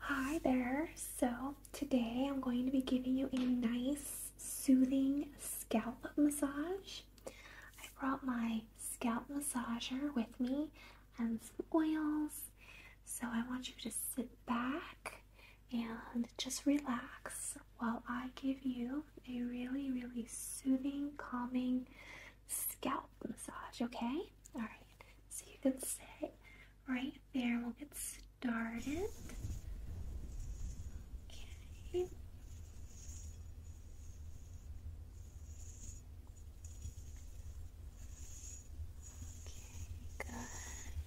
Hi there. So today I'm going to be giving you a nice soothing scalp massage. I brought my scalp massager with me and some oils. So I want you to sit back and just relax, while I give you a really, really soothing, calming scalp massage, okay? Alright, so you can sit right there. We'll get started. Okay. Okay, good.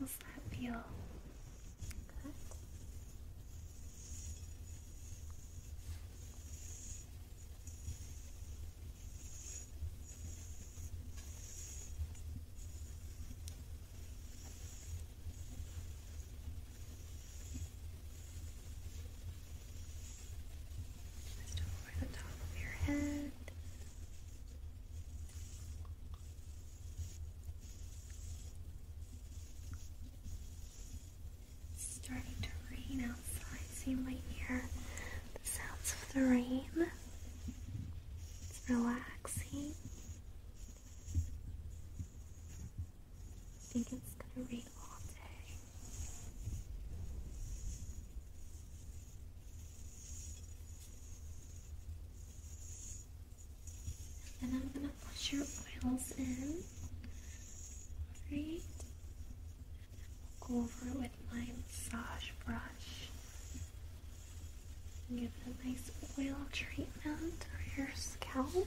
How's that feel? Good. Just over the top of your head. It's starting to rain outside, so you might hear the sounds of the rain. It's relaxing. I think it's gonna rain and then I'm gonna push your oils in. Great. And we'll go over with my massage brush. And give it a nice oil treatment for your scalp.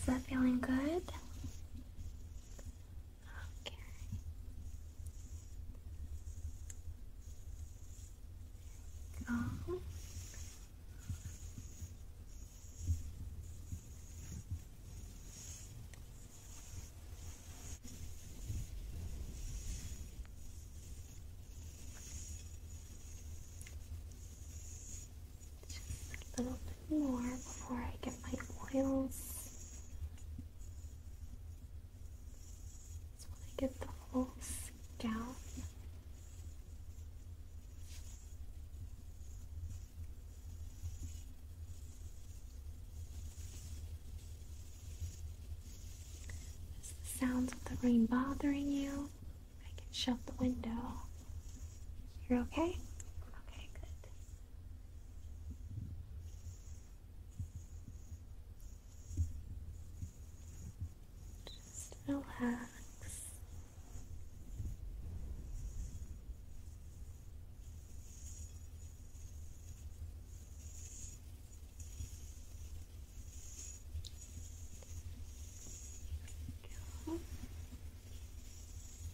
Is that feeling good? Okay. Go. Just a little bit more before I get my oils. Just want to get the whole scalp. Is the sounds of the rain bothering you? I can shut the window. You're okay? Okay, good. Just relax. Good.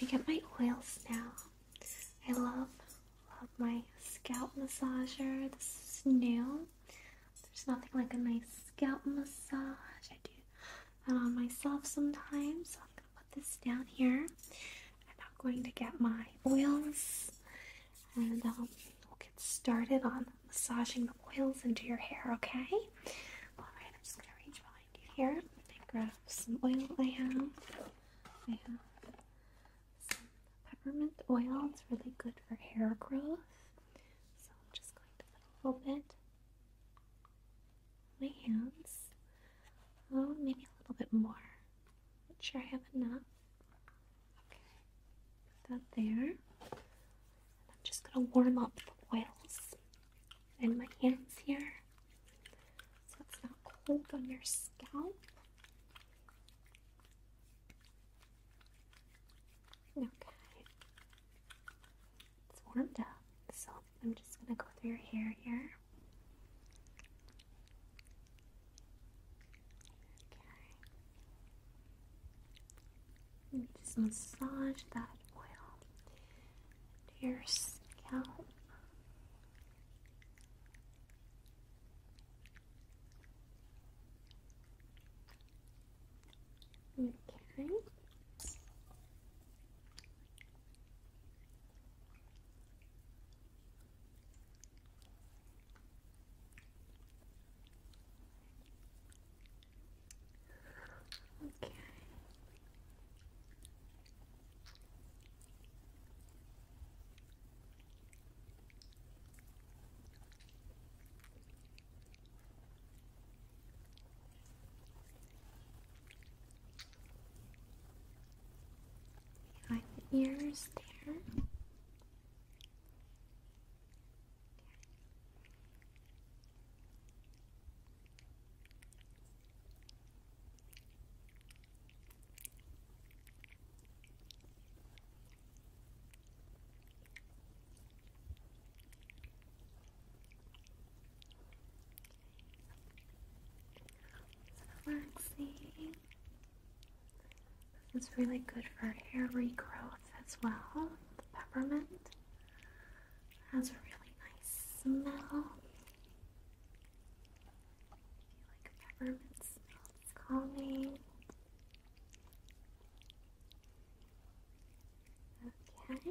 gonna get my oils now. I love love my scalp massager. This is new. There's nothing like a nice scalp massage. I do that on myself sometimes. So I'm gonna put this down here. I'm not going to get my oils, and um, we'll get started on massaging the oils into your hair. Okay. All right. I'm just gonna reach behind here. I grab some oil I have. I have some peppermint oil. It's really good for hair growth. So I'm just going to put a little bit on my hands. Oh, maybe a little bit more. Not sure I have enough. Okay, put that there. I'm just going to warm up the oils and my hands here so it's not cold on your scalp. Okay. It's warmed up, so I'm just going to go through your hair here. Let me just massage that oil to your scalp. Okay. Okay. Behind the ears there. Relaxing. It's really good for hair regrowth as well, the peppermint has a really nice smell. If you like peppermint smell, it's calming. Okay.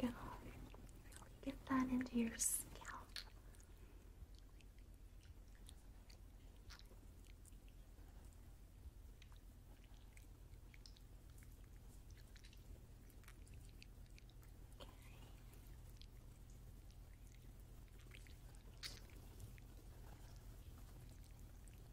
Go. Get that into your scalp.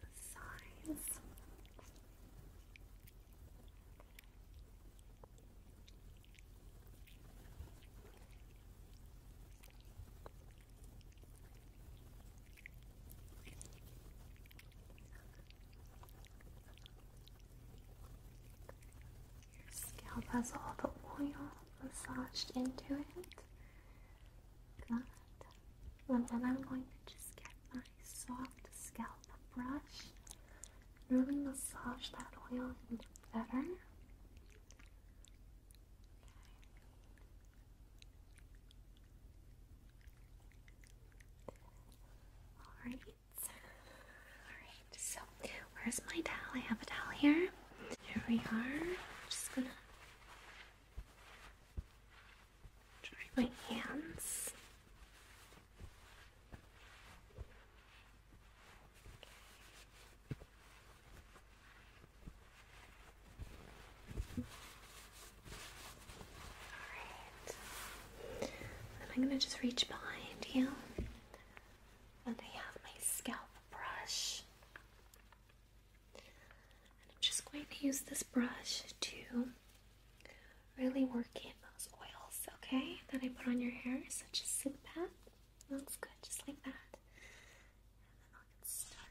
the signs. Your scalp has all the oil massaged into it. And then I'm going to just get my soft scalp brush really massage that oil into better. Alright. Alright, so where's my towel? I have a towel here. Here we are. just gonna Dry my hands. Okay. I'm going to just reach behind you. And I have my scalp brush. I'm just going to use this brush to really work in those oils, okay, that I put on your hair. So just sit back. Looks good, just like that. And then I'll get started.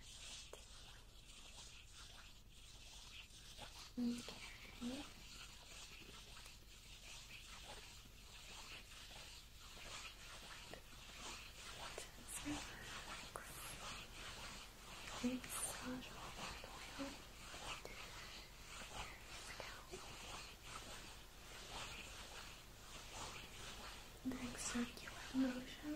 Very soft oil. Doing circular motions. Very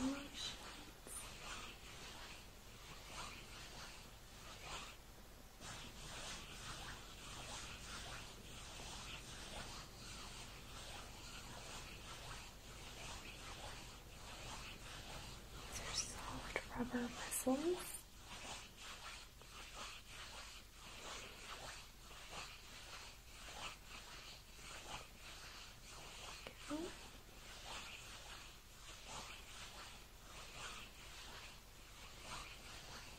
Relations. These are soft rubber bristles. Okay.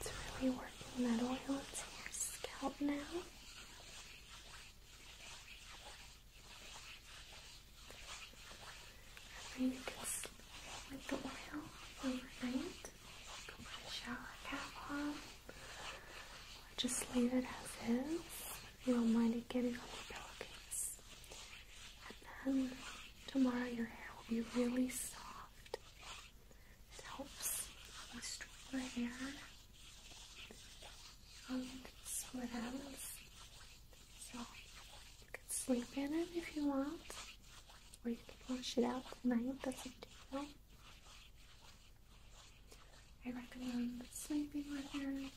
It's really working that oil into your scalp now. And you can sleep the oil overnight. shower cap on. Just leave it as is. If you don't mind it getting on your pillowcase. And then tomorrow your hair will be really soft. It helps with stronger hair. Um, and so it So you can sleep in it if you want. Or you can wash it out tonight, that's up to you. I recommend sleeping with it.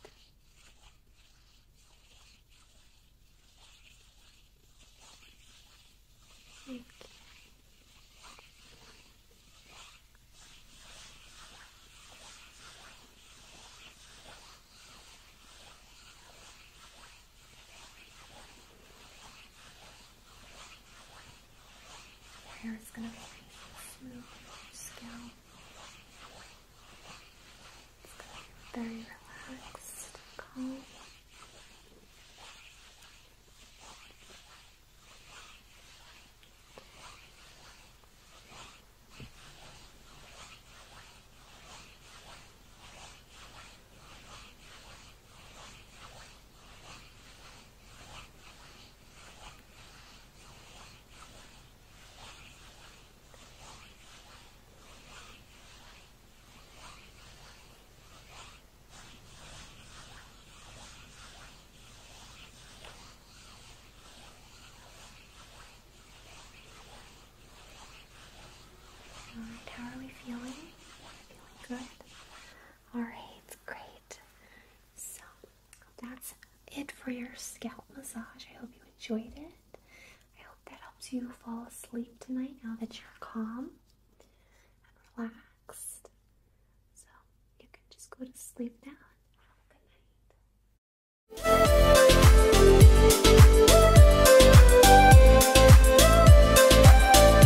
Okay. Hair is going to be smooth scalp. It's going to be very relaxed, calm. It's Alright, how are we feeling? Feeling good? Alright, great. So that's it for your scalp massage. I hope you enjoyed it. I hope that helps you fall asleep tonight now that you're calm and relaxed. So you can just go to sleep now have a good night.